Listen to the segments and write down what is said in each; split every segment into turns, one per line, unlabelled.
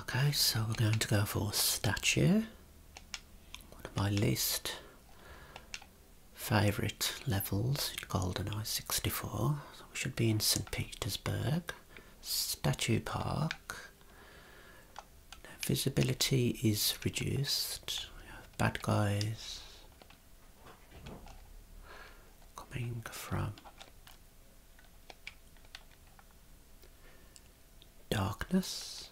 Okay, so we're going to go for statue. One of my least favourite levels in GoldenEye 64. we should be in St Petersburg. Statue Park. visibility is reduced. bad guys coming from darkness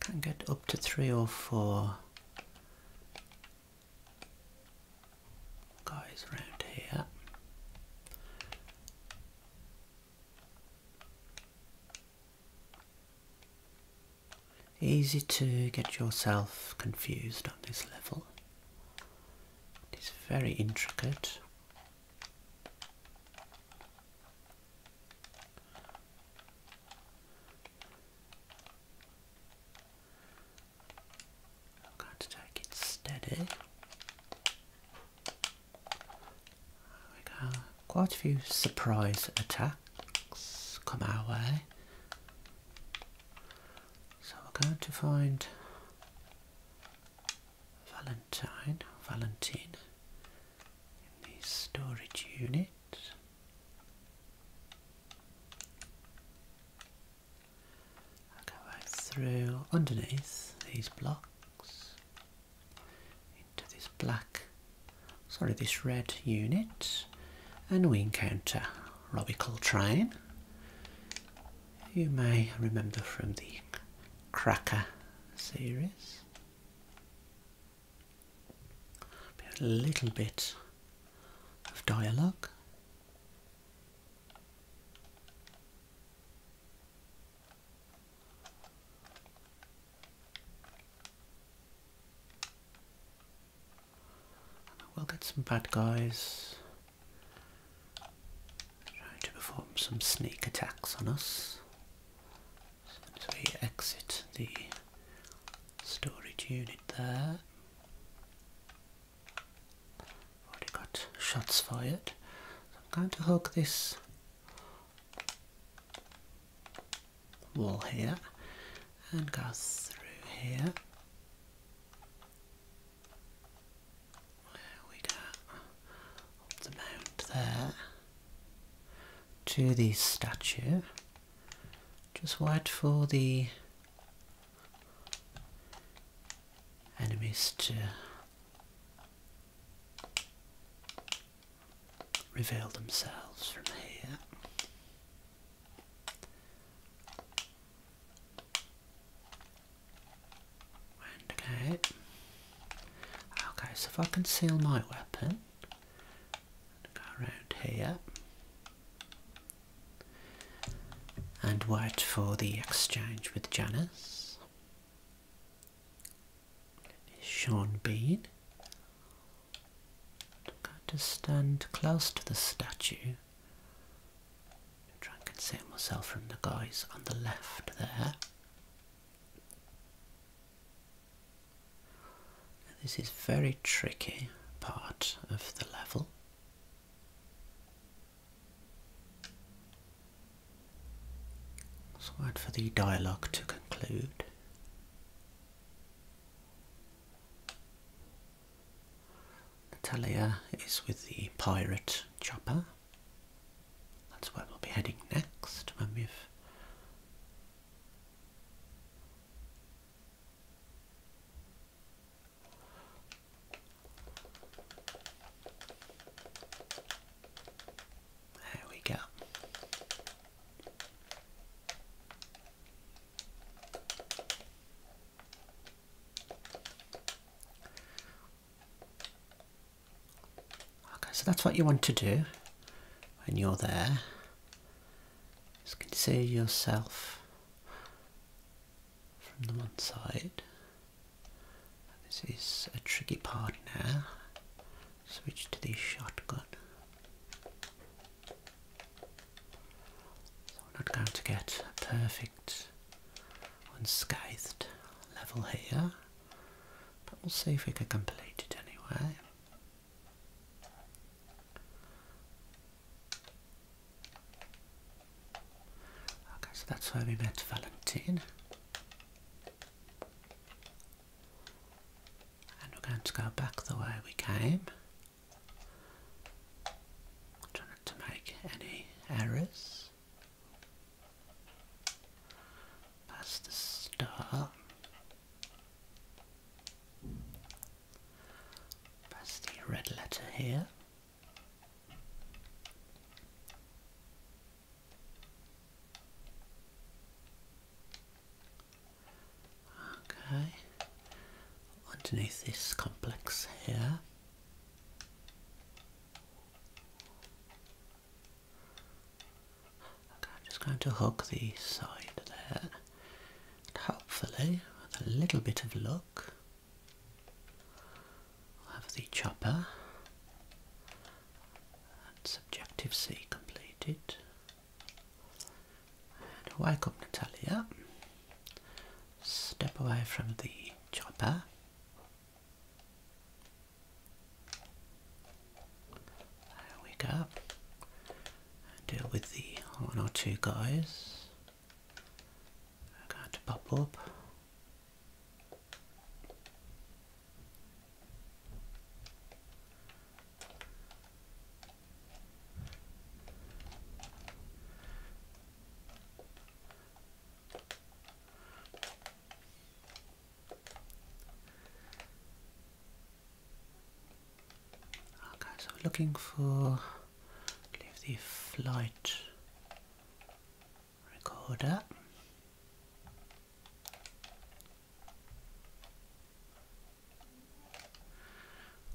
can get up to three or four guys around here Easy to get yourself confused on this level. It is very intricate. I'm going to take it steady. There we go. Quite a few surprise attacks come our way. So we're going to find Valentine, Valentine in the storage unit. I'll go through underneath these blocks into this black sorry this red unit and we encounter Robbie Coltrane you may remember from the Cracker series a little bit of dialogue we will get some bad guys trying to perform some sneak attacks on us. as we exit the storage unit there. Already got shots fired. I'm going to hook this wall here and go through here. Where we go the mount there to the statue. Just wait for the enemies to reveal themselves from here. okay. Okay, so if I conceal my weapon, go around here and wait for the exchange with Janice. Sean Bean. I'm going to stand close to the statue. Try and conceal myself from the guys on the left there. this is very tricky part of the level. wait for the dialogue to conclude. Natalia is with the pirate chopper. That's where we'll be heading next when we've there we go. Okay, so that's what you want to do when you're there. Just consider yourself from the one side. This is a tricky part now switch to the shotgun. So we're not going to get a perfect unscathed level here, but we'll see if we can complete it anyway. Okay, so that's where we met Valentine. And we're going to go back the way we came. Try not to make any errors. Past the star. Past the red letter here. Okay, underneath this complex here. Okay, I'm just going to hook the side there. And hopefully, with a little bit of luck, I will have the chopper that's objective C completed. And wake up Natalia. Step away from the chopper. There we go. Deal with the one or two guys. we pop up. Okay, so we're looking for the flight recorder.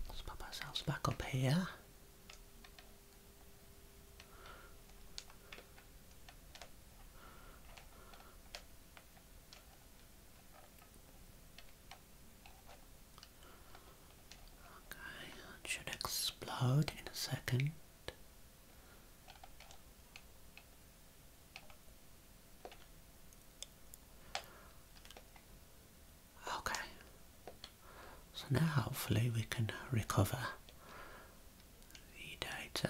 Let's pop ourselves back up here. Okay, that should explode in a second. Okay. So now hopefully we can recover the data.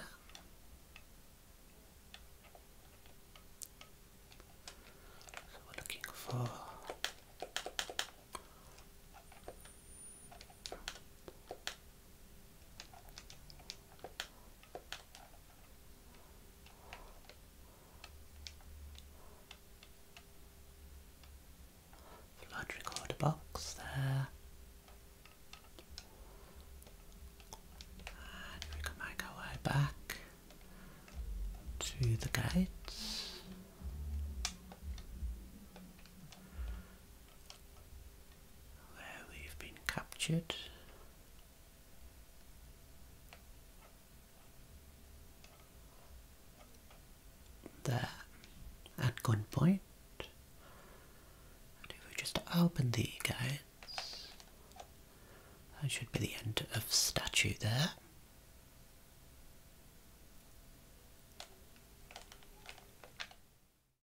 So we're looking for Flood recorder box there. And we can make our way back to the gates. There we've been captured. There, at gunpoint. if we just open the guides, that should be the end of statue there.